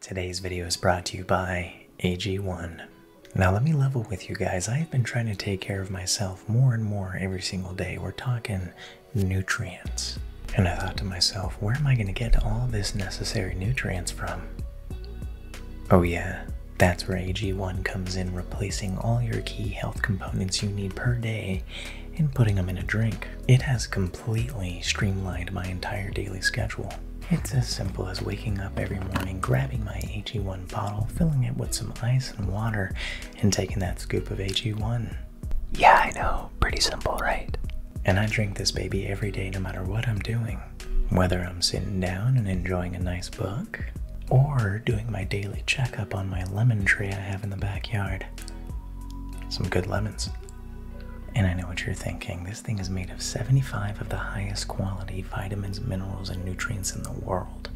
Today's video is brought to you by AG1. Now let me level with you guys. I have been trying to take care of myself more and more every single day. We're talking nutrients. And I thought to myself, where am I going to get all this necessary nutrients from? Oh yeah, that's where AG1 comes in, replacing all your key health components you need per day and putting them in a drink. It has complete completely streamlined my entire daily schedule. It's as simple as waking up every morning, grabbing my AG1 bottle, filling it with some ice and water, and taking that scoop of AG1. Yeah, I know. Pretty simple, right? And I drink this baby every day no matter what I'm doing. Whether I'm sitting down and enjoying a nice book, or doing my daily checkup on my lemon tree I have in the backyard. Some good lemons. And I know what you're thinking. This thing is made of 75 of the highest quality vitamins, minerals, and nutrients in the world.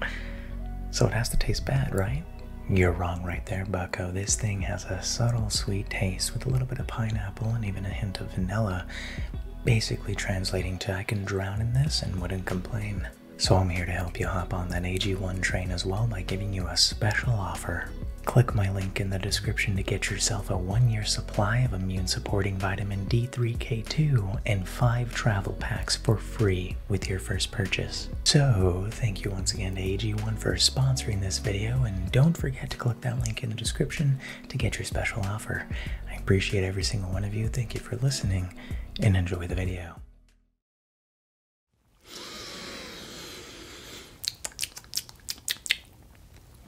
so it has to taste bad, right? You're wrong right there, bucko. This thing has a subtle sweet taste with a little bit of pineapple and even a hint of vanilla, basically translating to I can drown in this and wouldn't complain. So I'm here to help you hop on that AG1 train as well by giving you a special offer. Click my link in the description to get yourself a one year supply of immune supporting vitamin D3K2 and five travel packs for free with your first purchase. So, thank you once again to AG1 for sponsoring this video, and don't forget to click that link in the description to get your special offer. I appreciate every single one of you, thank you for listening, and enjoy the video.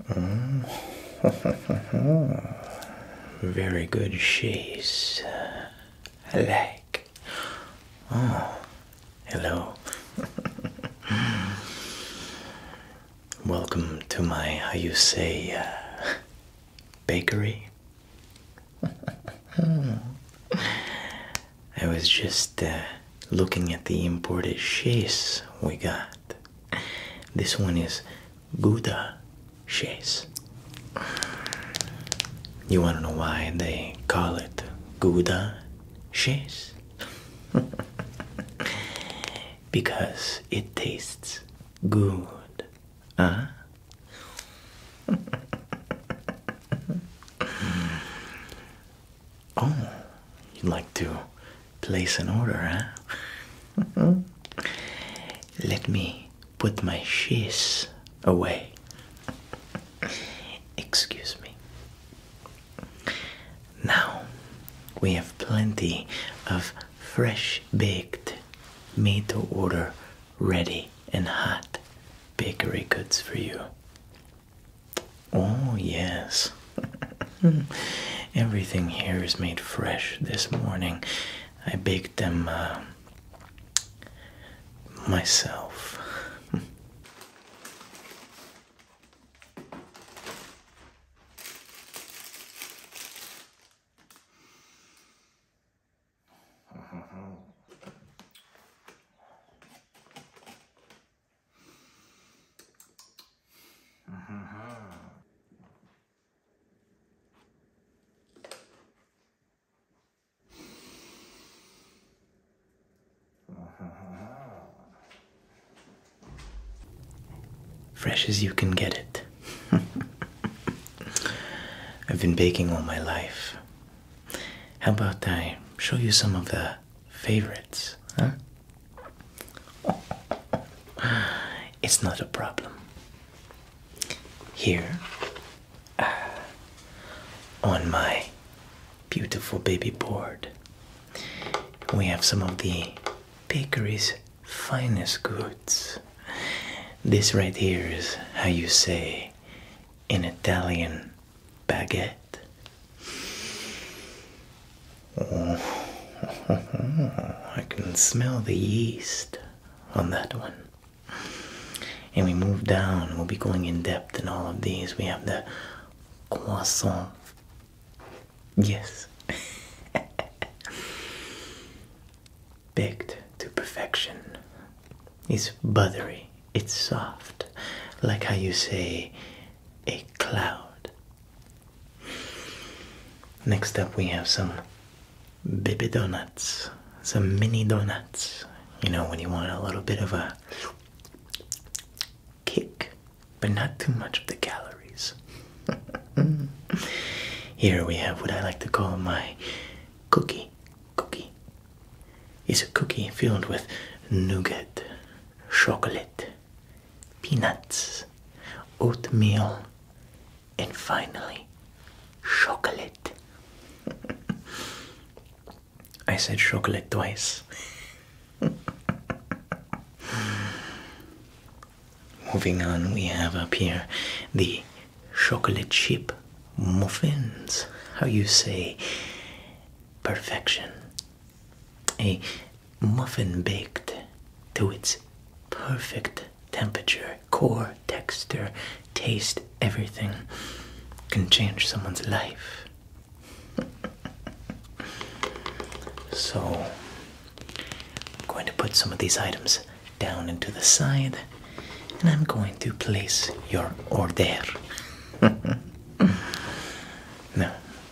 Uh. Very good she's. I uh, like. Oh, hello. Welcome to my, how you say, uh, bakery. I was just uh, looking at the imported chase we got. This one is Gouda chase. You want to know why they call it Gouda chase? because it tastes good, huh? Oh, you'd like to place an order, huh? Let me put my shears away. Excuse me. Now we have plenty of fresh baked, made to order, ready and hot bakery goods for you. Oh, yes. Everything here is made fresh this morning. I baked them uh, myself. Fresh as you can get it. I've been baking all my life. How about I show you some of the favorites? Huh? It's not a problem. Here, uh, on my beautiful baby board, we have some of the bakery's finest goods. This right here is how you say an Italian baguette. Oh, I can smell the yeast on that one. And we move down, we'll be going in depth in all of these. We have the croissant. Yes. Baked to perfection. It's buttery it's soft, like how you say a cloud. Next up, we have some baby donuts, some mini donuts. You know, when you want a little bit of a kick, but not too much of the calories. Here we have what I like to call my cookie cookie is a cookie filled with nougat, chocolate, peanuts, oatmeal, and finally, chocolate. I said chocolate twice. Moving on, we have up here the chocolate chip muffins. How you say perfection. A muffin baked to its perfect temperature, core, texture, taste, everything can change someone's life. so, I'm going to put some of these items down into the side and I'm going to place your order. now,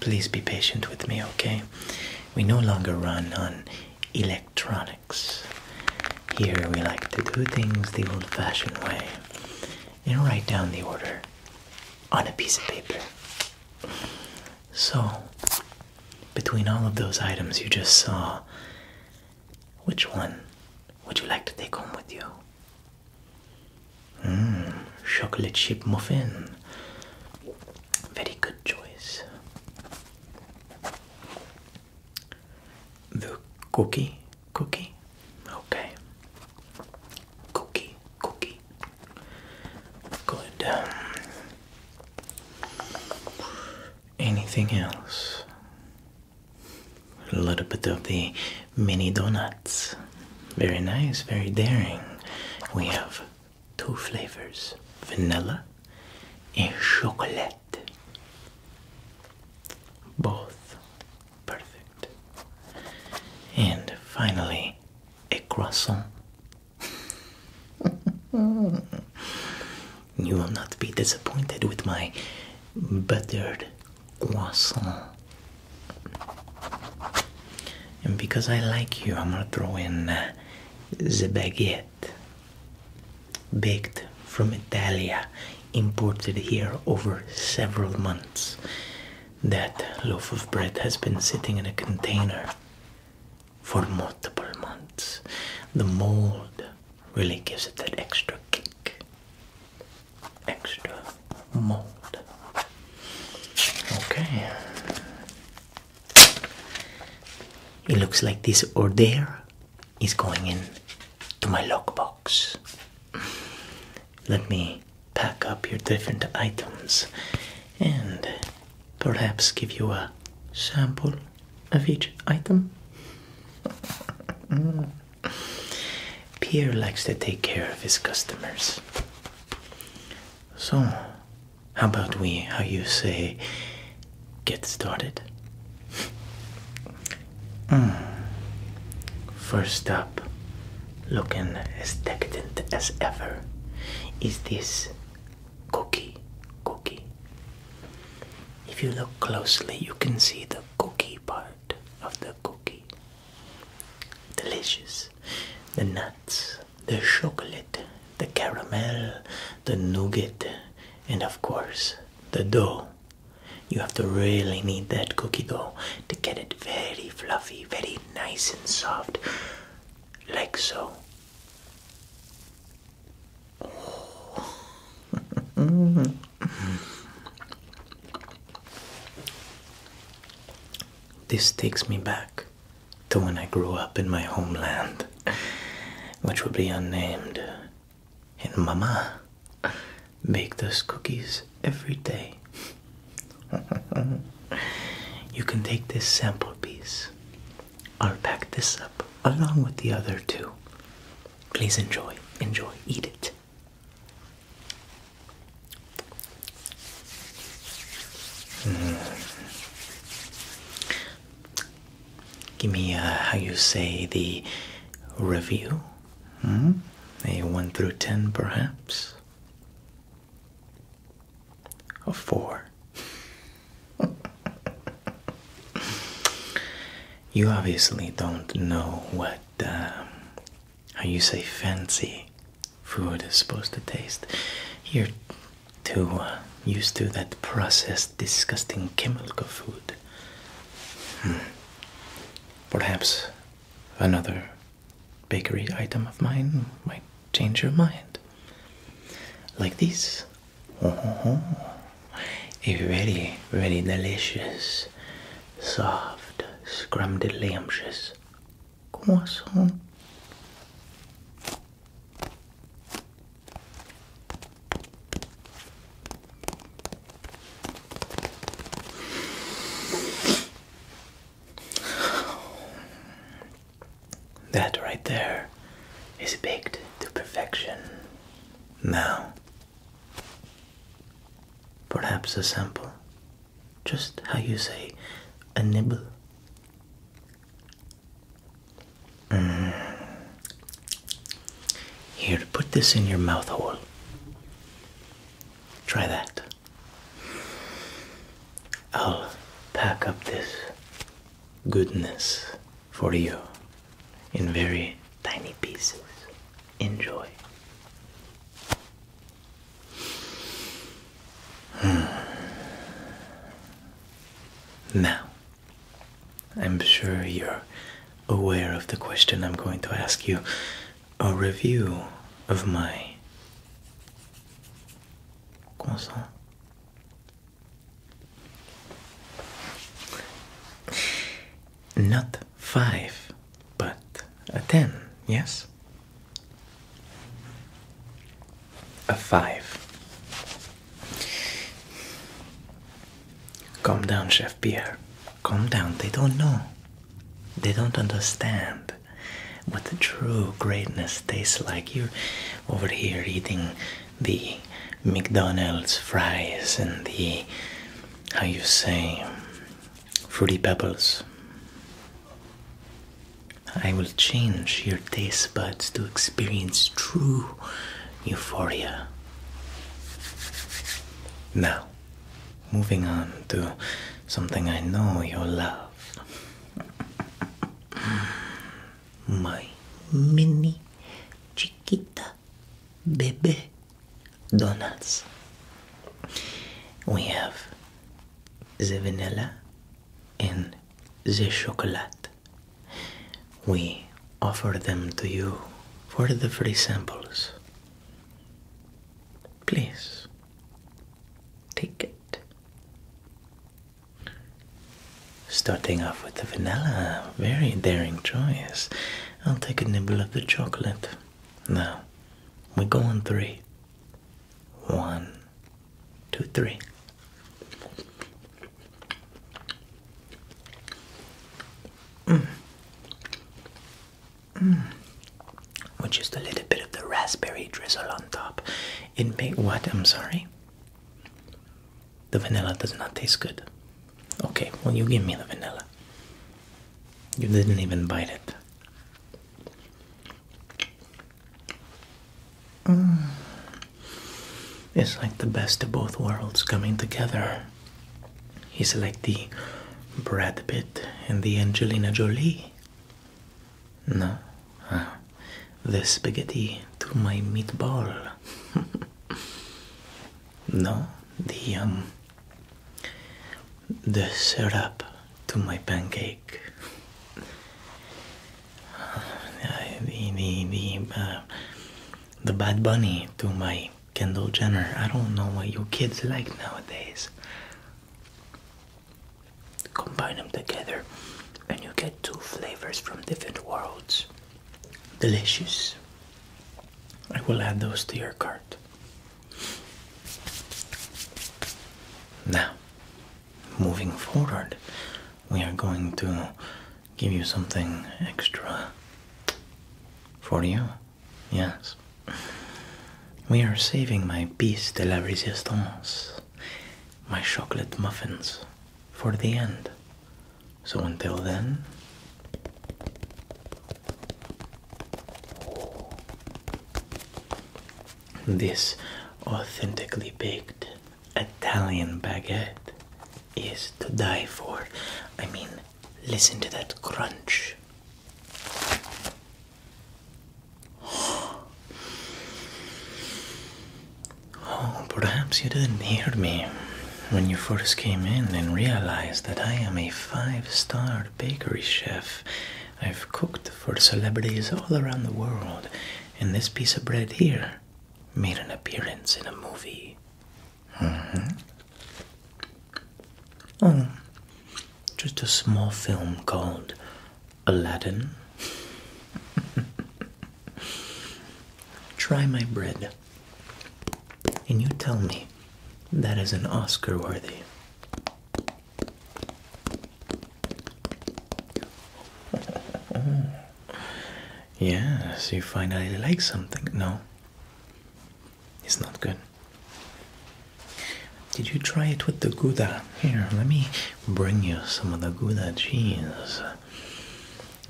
please be patient with me, okay? We no longer run on electronics. Here we like to do things the old fashioned way and write down the order on a piece of paper. So, between all of those items you just saw, which one would you like to take home with you? Mmm, chocolate chip muffin. Very good choice. The cookie, cookie, okay. Cookie, cookie. Good. Um, anything else? A little bit of the mini donuts. Very nice, very daring. We have two flavors vanilla and chocolate. Both perfect. And finally, a croissant. You will not be disappointed with my buttered croissant. And because I like you, I'm gonna throw in uh, the baguette. Baked from Italia, imported here over several months. That loaf of bread has been sitting in a container for multiple months. The mold really gives it that extra kick, extra mold. Okay. It looks like this order is going in to my lockbox. Let me pack up your different items and perhaps give you a sample of each item. Pierre likes to take care of his customers. So, how about we, how you say, get started? Hmm. First up, looking as decadent as ever, is this cookie. Cookie. If you look closely, you can see the cookie part of the cookie. Delicious. The nuts, the chocolate, the caramel, the nougat, and of course, the dough. You have to really need that cookie dough to get it very fluffy, very nice and soft, like so. this takes me back to when I grew up in my homeland, which will be unnamed. And Mama baked those cookies every day. you can take this sample piece. I'll pack this up along with the other two Please enjoy, enjoy, eat it. Mm-hmm. Give me uh, how you say the review. Hmm? A 1 through 10, perhaps? A 4 you obviously don't know what, uh, how you say fancy food is supposed to taste. You're too uh, used to that processed, disgusting chemical food. Hmm. Perhaps another bakery item of mine might change your mind. Like these uh-huh. It's really, really delicious. Soft, scrumptious croissant. That right there is baked to perfection. Now, perhaps a sample. Just how you say a nibble. Mm. Here, put this in your mouth hole. Try that. I'll pack up this goodness for you in very tiny pieces. Enjoy. Hmm. Now, I'm sure you're aware of the question I'm going to ask you a review of my consent not five, but a ten, yes? A five. Calm down, Chef Pierre. Calm down. They don't know. They don't understand what the true greatness tastes like. You're over here eating the McDonald's fries and the how you say fruity pebbles. I will change your taste buds to experience true euphoria. Now, moving on to something I know you love my mini chiquita bebe donuts. We have the vanilla and the chocolate. We offer them to you for the free samples. Please take it. Starting off with the vanilla, very daring choice. I'll take a nibble of the chocolate. Now, we are going three. One, two, three. Mm. Mm. a little bit of the raspberry drizzle on top. It may what? I'm sorry. The vanilla does not taste good. Okay, well, you give me the vanilla. You didn't even bite it. Mm. It's like the best of both worlds coming together. He's like the Brad Pitt and the Angelina Jolie. No, the spaghetti to my meatball. no, the um, the syrup to my pancake. the the the uh, the Bad Bunny to my Kendall Jenner. I don't know what your kids like nowadays. Combine them together, and you get two flavors from different worlds. Delicious. I will add those to your cart. Now, moving forward, we are going to give you something extra for you. Yes. We are saving my piece de la resistance my chocolate muffins for the end. So until then, this authentically baked Italian baguette is to die for. I mean, listen to that crunch. Oh, perhaps you didn't hear me when you first came in and realized that I am a five star bakery chef. I've cooked for celebrities all around the world, and this piece of bread here made an appearance in a movie. Mm-hmm. Oh, just a small film called Aladdin. Try my bread, and you tell me that is an Oscar worthy. yes, you finally like something. No, it's not good. Did you try it with the Gouda? Here, let me bring you some of the Gouda cheese.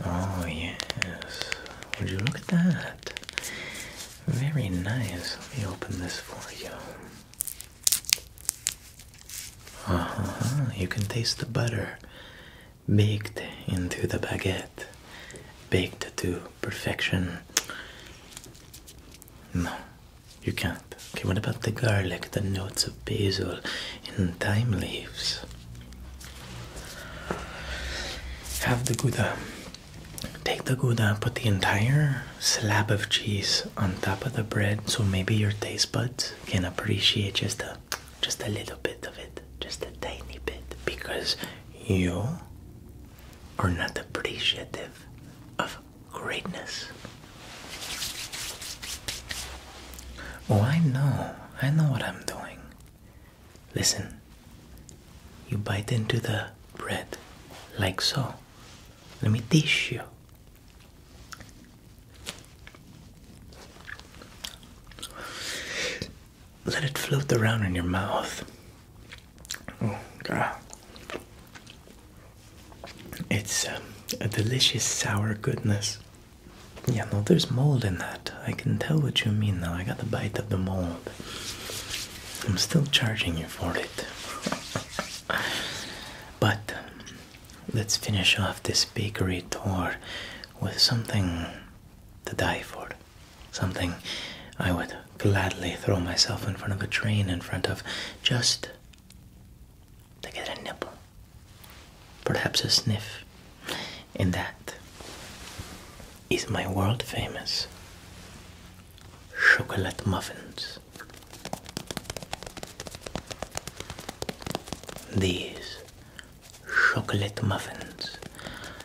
Oh, yes. Would you look at that? Very nice. Let me open this for you. Uh-huh. You can taste the butter baked into the baguette, baked to perfection. You can't. Okay, what about the garlic, the notes of basil, and thyme leaves? Have the Gouda. Take the Gouda, put the entire slab of cheese on top of the bread so maybe your taste buds can appreciate just a, just a little bit of it, just a tiny bit, because you are not appreciative of greatness. Oh, I know. I know what I'm doing. Listen. You bite into the bread like so. Let me teach you. Let it float around in your mouth. Oh, God. It's um, a delicious sour goodness. Yeah, no, there's mold in that. I can tell what you mean now. I got a bite of the mold. I'm still charging you for it. but um, let's finish off this bakery tour with something to die for. Something I would gladly throw myself in front of a train in front of just they get a nibble, perhaps a sniff, and that is my world famous chocolate muffins. These chocolate muffins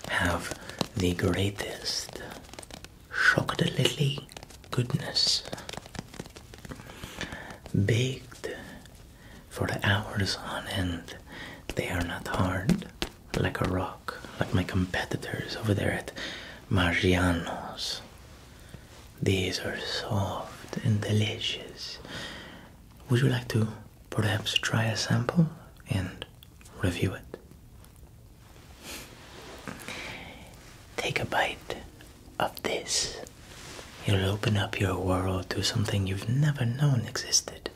have the greatest chocolatey goodness, baked for the hours on end. They are not hard like a rock, like my competitors over there at Margiano's. These are soft and delicious. Would you like to perhaps try a sample and review it? Take a bite of this. It'll open up your world to something you've never known existed.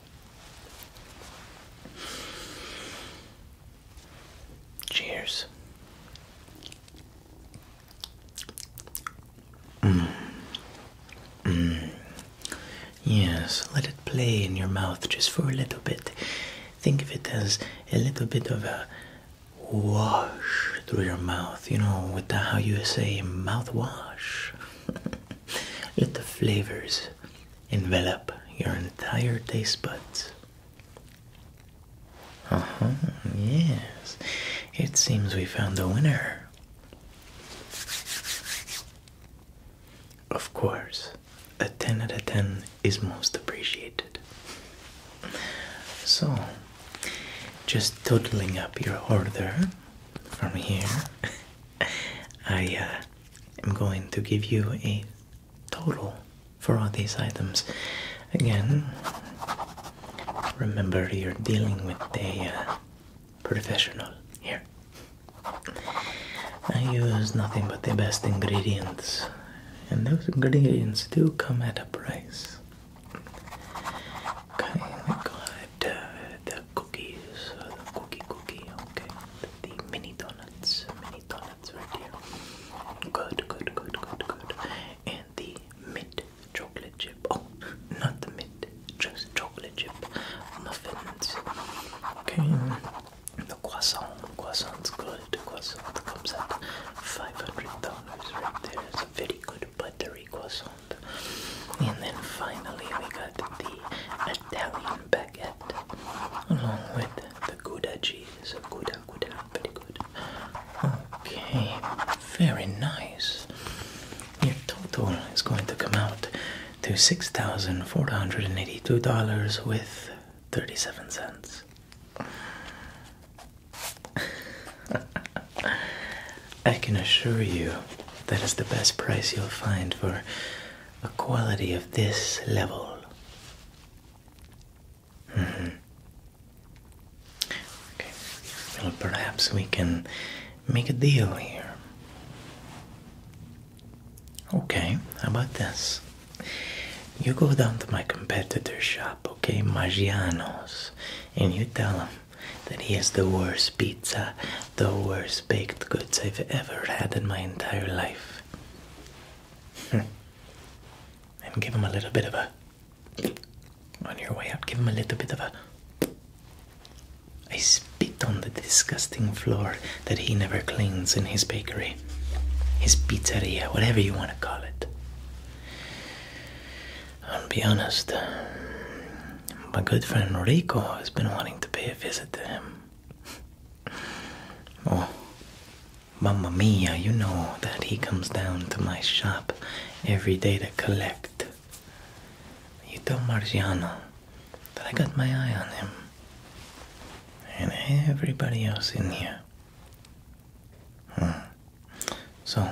Cheers. Mm. Mm. Yes, let it play in your mouth just for a little bit. Think of it as a little bit of a wash through your mouth, you know, with how you say mouthwash. Let the flavors envelop your entire taste buds. Uh huh, yes. It seems we found the winner. Of course, a 10 out of 10 is most appreciated. So, just totalling up your order from here, I uh, am going to give you a total for all these items. Again, remember you're dealing with a uh, professional here. I use nothing but the best ingredients and those ingredients do come at a price. Okay, we got uh, the cookies, uh, the cookie cookie, okay, the mini donuts, mini donuts right Good, good, good, good, good. And the mint chocolate chip. Oh, not the mint, just chocolate chip muffins. Okay, the croissant, croissant's good. The croissant comes at 500 dollars right there. It's a very good buttery croissant. And then finally we got the Italian baguette along with the Gouda cheese. The Gouda, Gouda, pretty good. Okay, very nice. Your total is going to come out to $6,482 with 37 cents. I can assure you that is the best price you'll find for a quality of this level. Mm-hmm. Okay, well, perhaps we can make a deal here. Okay, how about this? You go down to my competitor's shop, okay, Magiano's, and you tell him that he has the worst pizza, the worst baked goods I've ever had in my entire life. Hmm. and give him a little bit of a. On your way out, give him a little bit of a. I spit on the disgusting floor that he never cleans in his bakery his pizzeria, whatever you want to call it. I'll be honest, um, my good friend Rico has been wanting to pay a visit to him. Oh, mamma mia, you know that he comes down to my shop every day to collect. You told Marciano that I got my eye on him and everybody else in here. Hmm. So,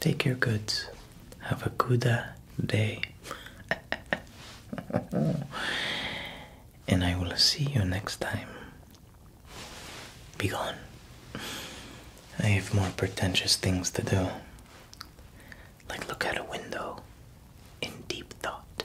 take your goods. Have a good uh, day. and I will see you next time. Be gone. I have more pretentious things to do. Like look out a window in deep thought.